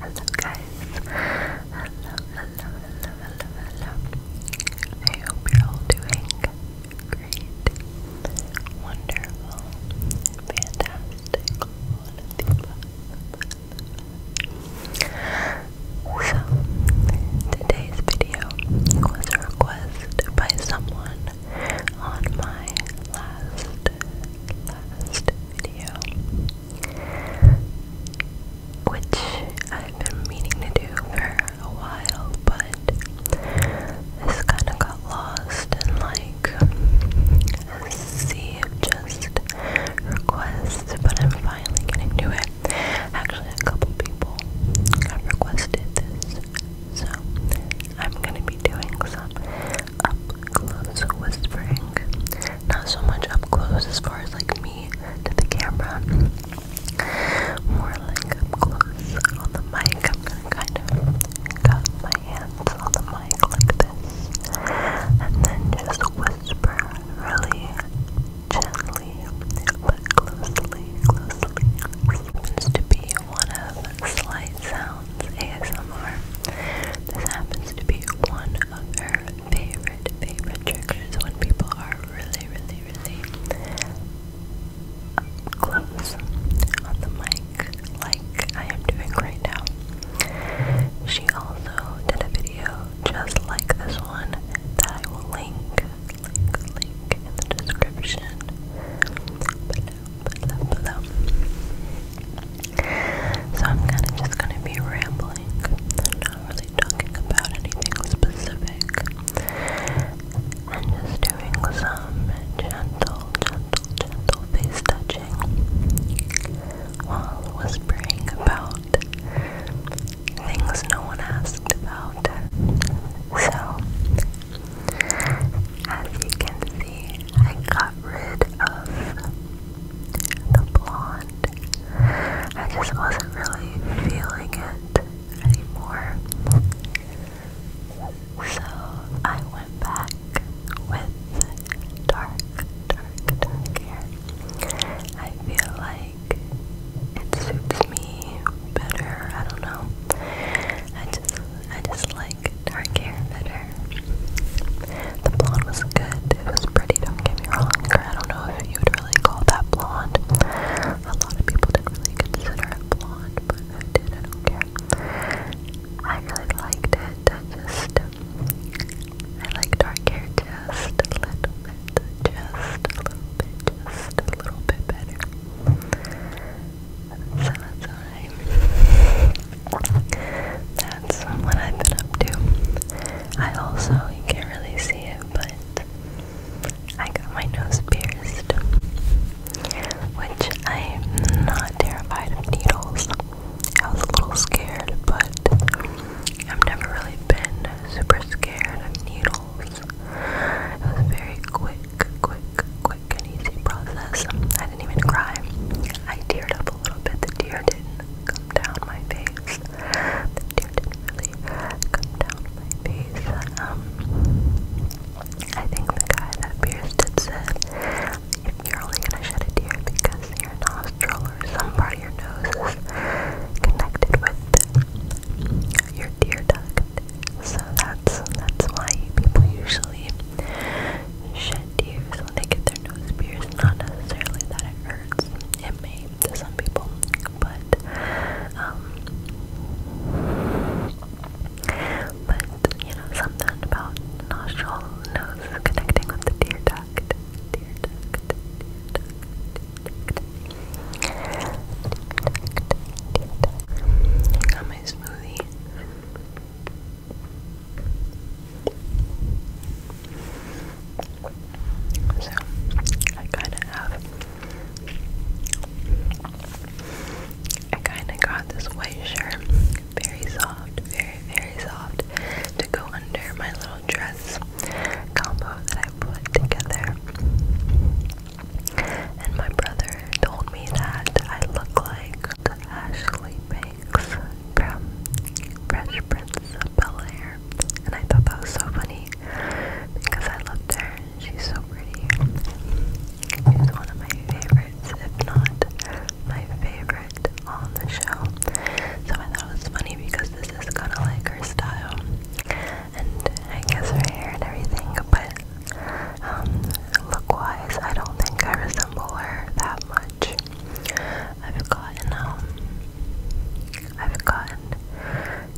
Hello guys. Hello, hello, hello, hello, hello. I hope you're all doing great, wonderful, fantastic, So, today's video was a by someone on my last, last which I've been meaning to do for a while, but this kind of got lost in like a sea of just requests, but I'm finally getting to it. Actually, a couple people have requested this, so I'm gonna be doing some up close whispering. Not so much up close as far as like me to the camera. More like up close on the mic. I'm gonna kind of cut my hands on the mic like this. And then just whisper really gently but closely, closely. It to be one of slight sounds. ASMR. This happens to be one of her favorite, favorite triggers when people are really, really, really close on the mic, like I am doing right now. She also did a video just like this one that I will link, link, in the description. So I'm kind of just gonna be rambling. i not really talking about anything specific. and just doing some gentle, gentle, gentle face touching while whispering about things no one asked about. So, as you can see, I got rid of the blonde. I just wasn't really feeling it anymore. So I went back with dark, dark, dark hair. I feel like it suits me better. I don't know. I just like dark hair better. The blonde was good. It was pretty. Don't get me wrong. I don't know if you would really call that blonde. A lot of people didn't really consider it blonde, but I did. I don't care. I really liked it. just, um, I like dark hair just a little bit, just a little bit, just a little bit better summertime. That's what I've been up to. I also, you can't really see it, but I got my nose pierced. Which I'm not terrified of needles. I was a little scared, but I've never really been super scared of needles. It was very quick quick, quick, quick and easy process. I didn't even cry. I teared up a little bit. The tear didn't come down my face. The tear didn't really come down my face. Um, I think the guy that pierced it said, if you're only gonna shed a tear because your nostril or some part of your nose is connected with your tear duct. So that's that's why people usually shed tears when they get their nose pierced. Not necessarily that it hurts, it may to some people, but um, but you know something about nostril nose connecting with the tear duct, tear duct, tear duct. I got my smoothie. So I kind of have, I kind of got this white shirt, very soft, very, very soft, to go under my little dress combo that I put together. And my brother told me that I look like Ashley Banks from Fresh Prince of Bel Air. And I thought that was so funny because I loved her. She's so pretty. She's one of my favorites, if not my favorite on the show. So I thought it was funny because this is kind of like her style. And I guess her hair and everything, but um, I don't think I resemble her that much. I've gotten, um, I've gotten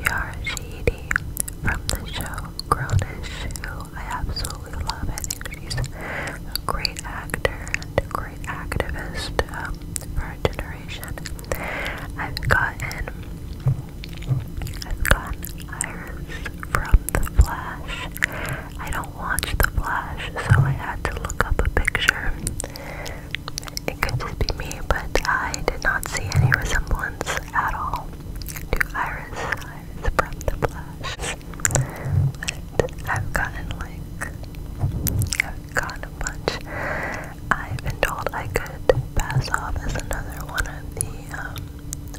Yarashidi from the show Grownish, who I absolutely love. I think she's a great actor and a great activist um, for our generation. I've gotten I've gotten Iris from The Flash. I don't watch The Flash, so I had to look up a picture. It could just be me, but I did not see any resemblance at all to Iris, from The Flash. But I've gotten like, I've gotten a bunch. I've been told I could pass off as another one of the um,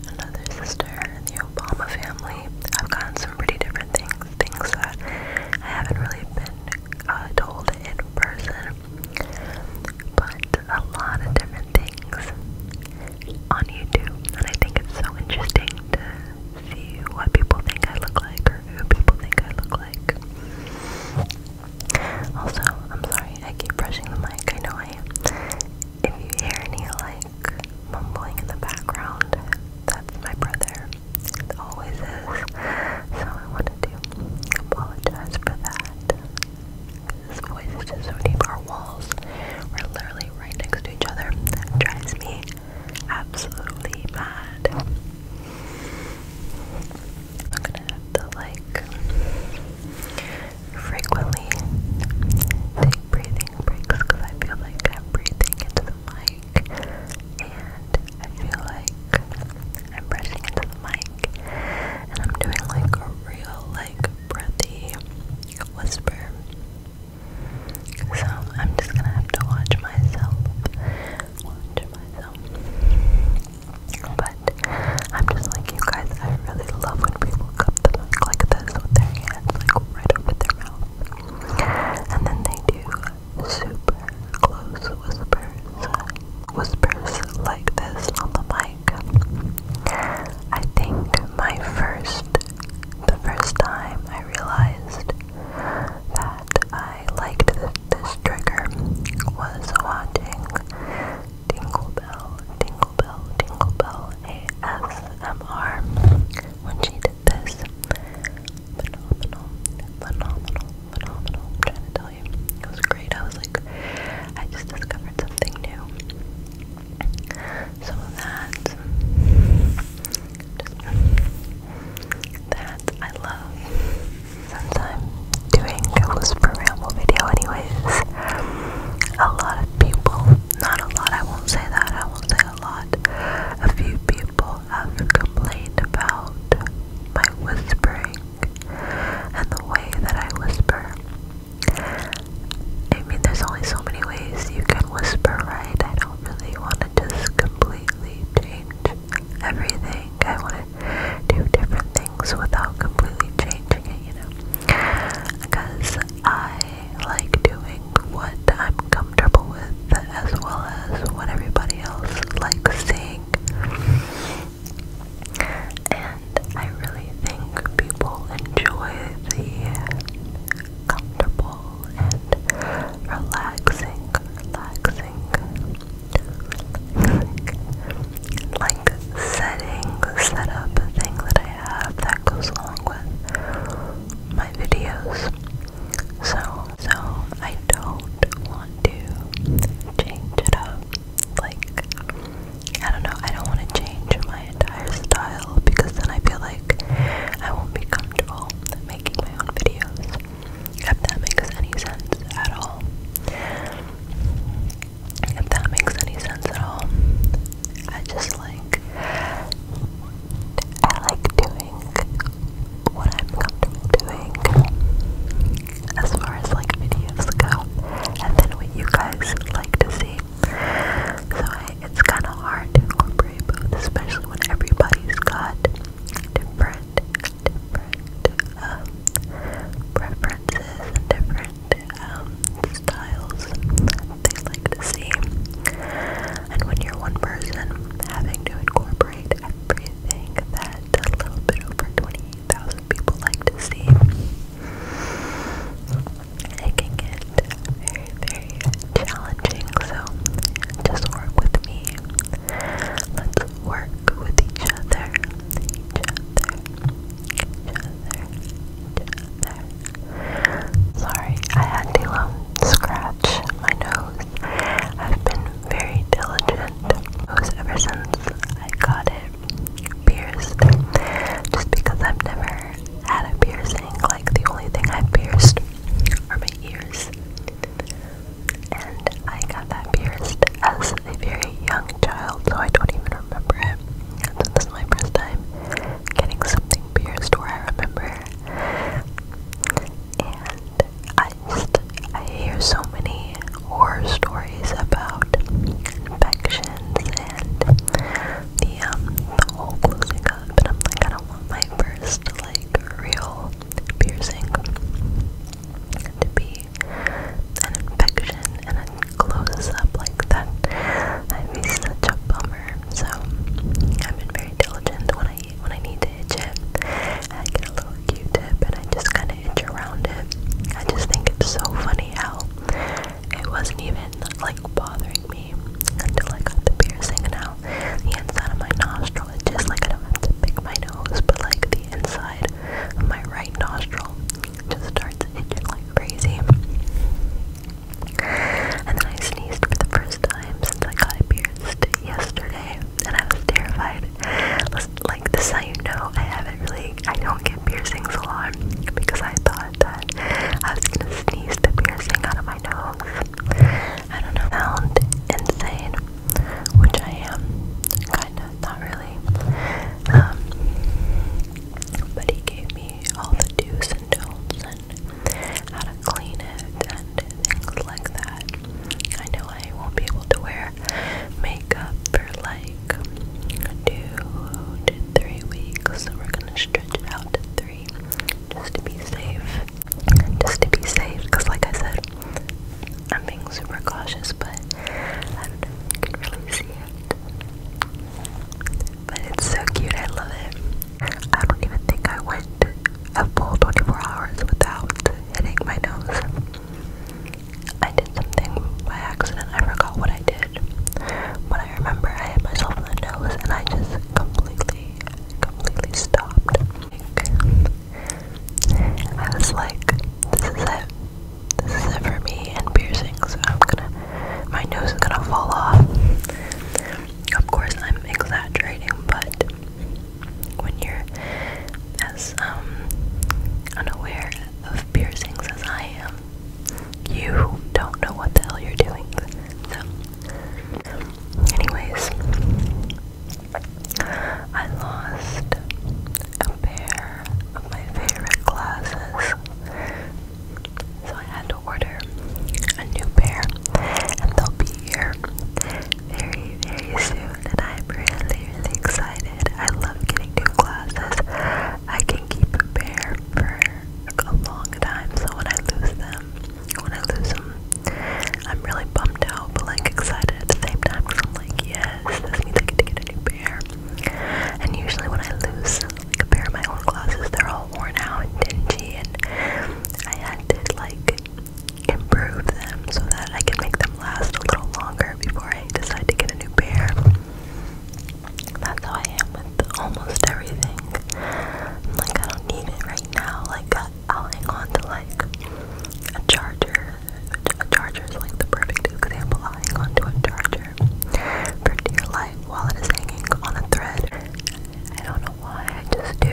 another sister in the Obama family. I've gotten some pretty different things, things that I haven't really been uh, told in person, but a lot of different things on YouTube. And I think it's so interesting to see what people think I look like or who people think I look like. Also, I'm sorry I keep brushing the mic. I know I if you hear any like mumbling in the background, that's my brother. It always is. So I wanted to apologize for that. This voice is just so deep. Our walls are literally right next to each other. That drives me absolutely mad. I'm gonna have to like frequently take breathing breaks because I feel like I'm breathing into the mic and I feel like I'm brushing into the mic and I'm doing like a real like breathy whisper. So I'm just gonna have to watch myself. Watch myself. But I'm just like you guys, I really love when people cup the mic like this with their hands like right over their mouth. And then they do super close whispers, whispers like this on the mic. I think my first, the first time I realized that I liked this, this trigger was watching Tingle Bell, Tingle Bell, Tingle Bell ASMR when she did this. Phenomenal, phenomenal, phenomenal. trying to tell you, it was great. I was like, I just discovered something new. Some that, that I love. Sometimes doing a whisper video anyways. A lot of people, not a lot, I won't say that, I won't say a lot. A few people have complained about my whispering and the way that I whisper. I mean, there's only so many ways you can whisper, right? I don't really want to just completely change everything. I want to do different things without completely changing it, you know? Because I like doing what I'm comfortable with as well as what everybody else likes seeing. And I really think people enjoy the comfortable and relaxing, relaxing, like like setting setup thing that I have that goes along with my videos. So so I don't want to change it up. Like I don't know, I don't want to change my entire style because then I feel like I won't be comfortable making my own videos. If that makes any sense at all. If that makes any sense at all. I just like I like doing what I'm comfortable doing as far as like videos go and then what you guys like to see. So it's kinda hard to incorporate both, especially when everybody's got different different uh, preferences different um, styles they like to see. And when you're one person, having to incorporate everything that a little bit over 20,000 people like to see, it can get very, very challenging. So just work with me. Let's work with each other. Each other. Sorry, I had to um, scratch my nose. I've been very diligent ever since I got it pierced. Just because I've never had a piercing, like the only thing I've pierced are my ears. And I got that pierced as a very young child, so I don't even remember it. So this is my first time getting something pierced where I remember. And I just, I hear so many horror stories about infections and the, um, the hole closing up, and I'm like, I don't want my first, like, real piercing to be an infection and it closes up like that. I'd be such a bummer. So I've been very diligent when I when I need to itch it. I get a little Q-tip and I just kind of itch around it. I just think it's so funny how it wasn't even like bothering me until I got the piercing. now the inside of my nostril is just like I don't have to pick my nose, but like the inside my right nostril just starts itching like crazy. And then I sneezed for the first time since I got it pierced yesterday, and I was terrified. Like, this is know I haven't really, I don't get piercings a lot, because I thought that I was gonna sneeze the piercing out of my nose. I don't know, sound insane, which I am, kind of not really. Um, but he gave me all the do's and don'ts and how to clean it and things like that. I know I won't be able to wear makeup for like two three weeks, so we're gonna stretch it out to three just to be safe. Just to be safe, because like I said, I'm being super cautious, but I don't know if you can really see it. But it's so cute, I love it. I don't even think I went a full 24 hours without hitting my nose. I did something by accident, I forgot what I did. But I remember I hit myself in the nose and I just completely, completely stopped. I was like, this is it. This is it for me and piercing, so I'm gonna, my nose is gonna fall off. Of course, I'm exaggerating, but when you're as um, unaware of piercings as I am, you don't know what the hell you're doing. So, anyways, I lost a pair of my favorite glasses, so I had to order a new pair, and they'll be here very, very soon. And I'm really, really excited. I love getting new glasses. I can keep a pair for a long time, so when I lose them, when I lose them, I'm really bummed out, but like excited at the same time because I'm like, yes, this means I get to get a new pair. And usually when I lose like a pair of my own glasses, they're all worn out and dingy, and I had to like improve them so that I can make them last a little longer before I decide to get a new pair. That's how I am with almost everything. like I don't need it right now. Like I'll hang on to like a charger. A charger is like the perfect example. i hang on to a charger for dear life while it is hanging on a thread. I don't know why, I just do.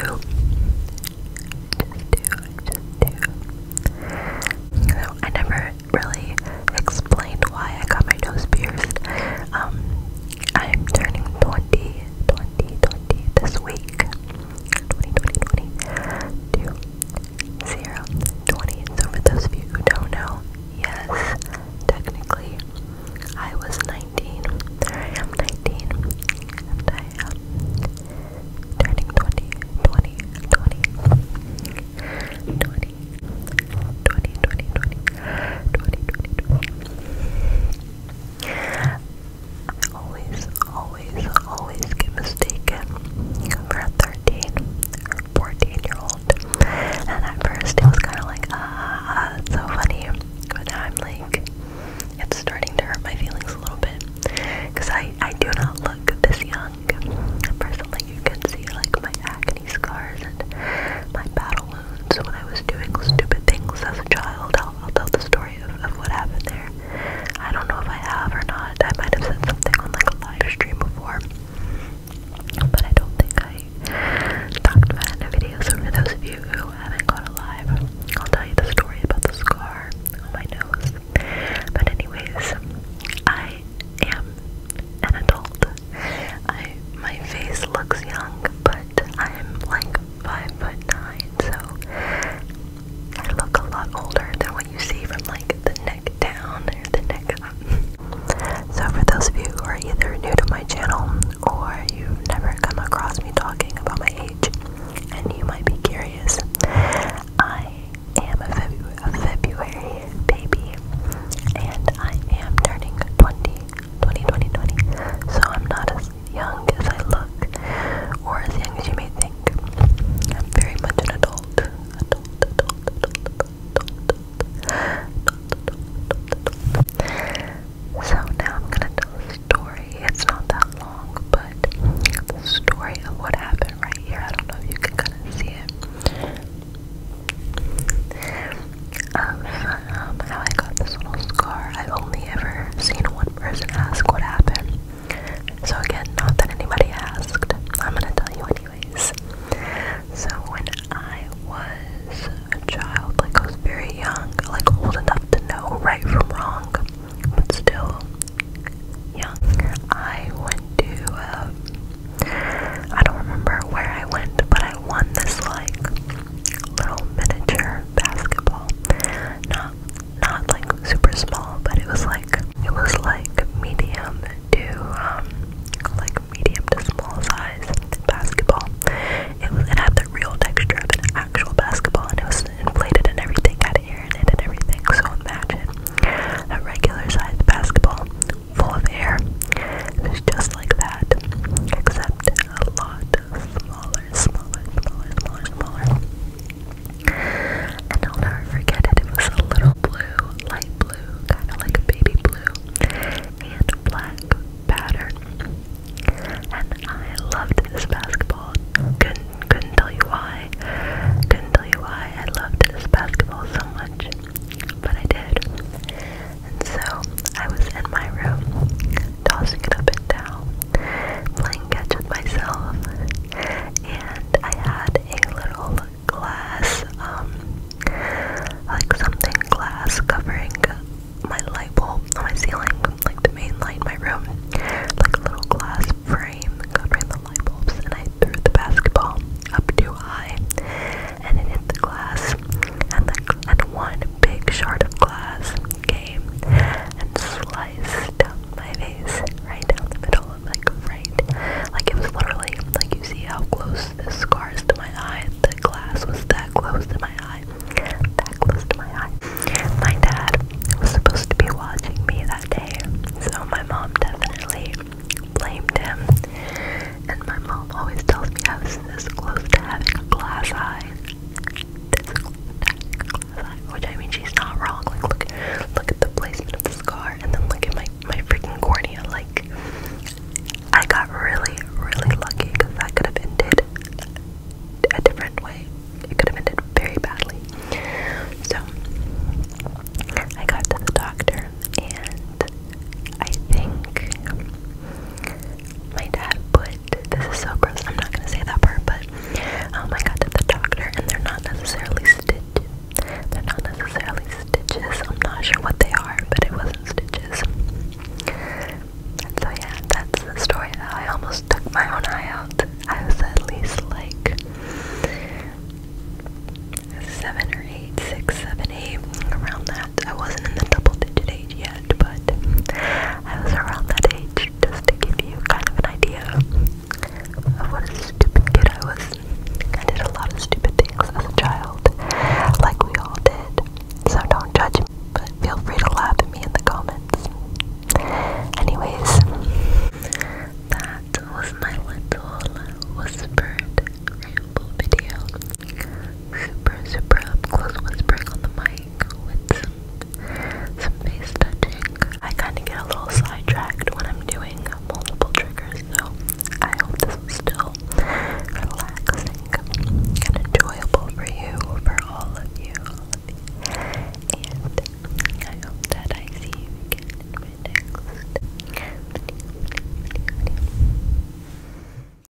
just do, just do. You I never really explained why I got my nose pierced. Um, I'm turning 20, 20 this week. 20, 20, 20, So for those of you who don't know, yes, technically, I was 19. I am 19. And I am turning 20, 20, 20, 20, 20, 20, 20, 20, 20, 20. I always, always, always get mistaken for a 13 or 14 year old. And at first it was kind of like, ah, ah, it's so funny. But now I'm like, it's starting to hurt my feelings a little bit. Because I, I do not look this young. Personally, you can see like my acne scars and my battle wounds when I was doing stupid things as a child. I'll, I'll tell the story of, of what happened there. I don't know if I have or not. I might have said something on like a live stream before. But I don't think I talked about it in a video. So for those of you who haven't gone alive, I'll tell you the story about the scar on my nose. But anyways, I am an adult. my face looks young, but I'm like five foot nine, so I look a lot older than what you see from like the neck down or the neck up. So for those of you who are either new to my channel or you've never come across me talking about my age and you might be curious, I am a, February baby and I am turning 20, So I'm not a young as I look, or as young as you may think. I'm very much an adult. Adult, adult, adult, adult, adult, adult, adult, adult. So now I'm gonna tell a story. It's not that long, but the story of what happened right here. I don't know if you can kind of see it. Of um, how I got this little scar I've only ever seen one person ask what happened. So, again, not that anybody asked. I'm gonna tell you, anyways. So, when I was a child, like I was very young, like old enough to know right from wrong, but still young, I went to, um, I don't remember where I went, but I won this, like, little miniature basketball. Not not like super small, but it was like it was like medium to um like medium to small size basketball. It was it had the real texture of an actual basketball and it was inflated and everything had air in it and everything. So imagine a regular sized basketball full of air. It was just like that. Except a lot smaller, smaller, smaller, smaller, smaller. And I'll never forget it. It was a little blue, light blue, kind of like baby blue, and black pattern. And I loved this basketball. Couldn't, couldn't tell you why. Couldn't tell you why I loved this basketball so much, but I did. And so I was in my room tossing it up and down, playing catch with myself. And I had a little glass, um, like something glass covering my light bulb on my ceiling, like the main light in my room, like a little glass frame covering the light bulbs. And I threw the basketball up too high, and it hit the glass, and like, and one big shard of glass came and sliced my face right down the middle and like right like it was literally like you see how close the scars to my eye the glass was that close to my eye that close to my eye my dad was supposed to be watching me that day so my mom definitely blamed him and my mom always tells me I was this close to having a glass eye which I mean, she's not wrong. Like, look, look at the placement of the scar, and then look at my my freaking cornea. Like, I got really, really lucky because that could have ended a different way. It could have ended very badly. So, I got to the doctor, and I think my dad put this is so gross. I'm not gonna say that part, but oh my god, to the doctor, and they're not necessarily stitches. They're not necessarily stitches. I'm not sure what they are, but it wasn't stitches. so yeah, that's the story. I almost took my own eye out. I was at least like seven or eight, six, seven, eight, around that I wasn't in the double digit age yet, but I was around that age just to give you kind of an idea of what a stupid kid I was. I did a lot of stupid things as a child, like we all did. So don't judge me, but feel free to laugh at me in the comments. Anyways, that was my little whispered ramble video. Super, super up close whispering on the mic with some, face touching. I kind of get a little sidetracked when I'm doing multiple triggers, so I hope this was still relaxing and enjoyable for you, for all of you, And I hope that I see you again next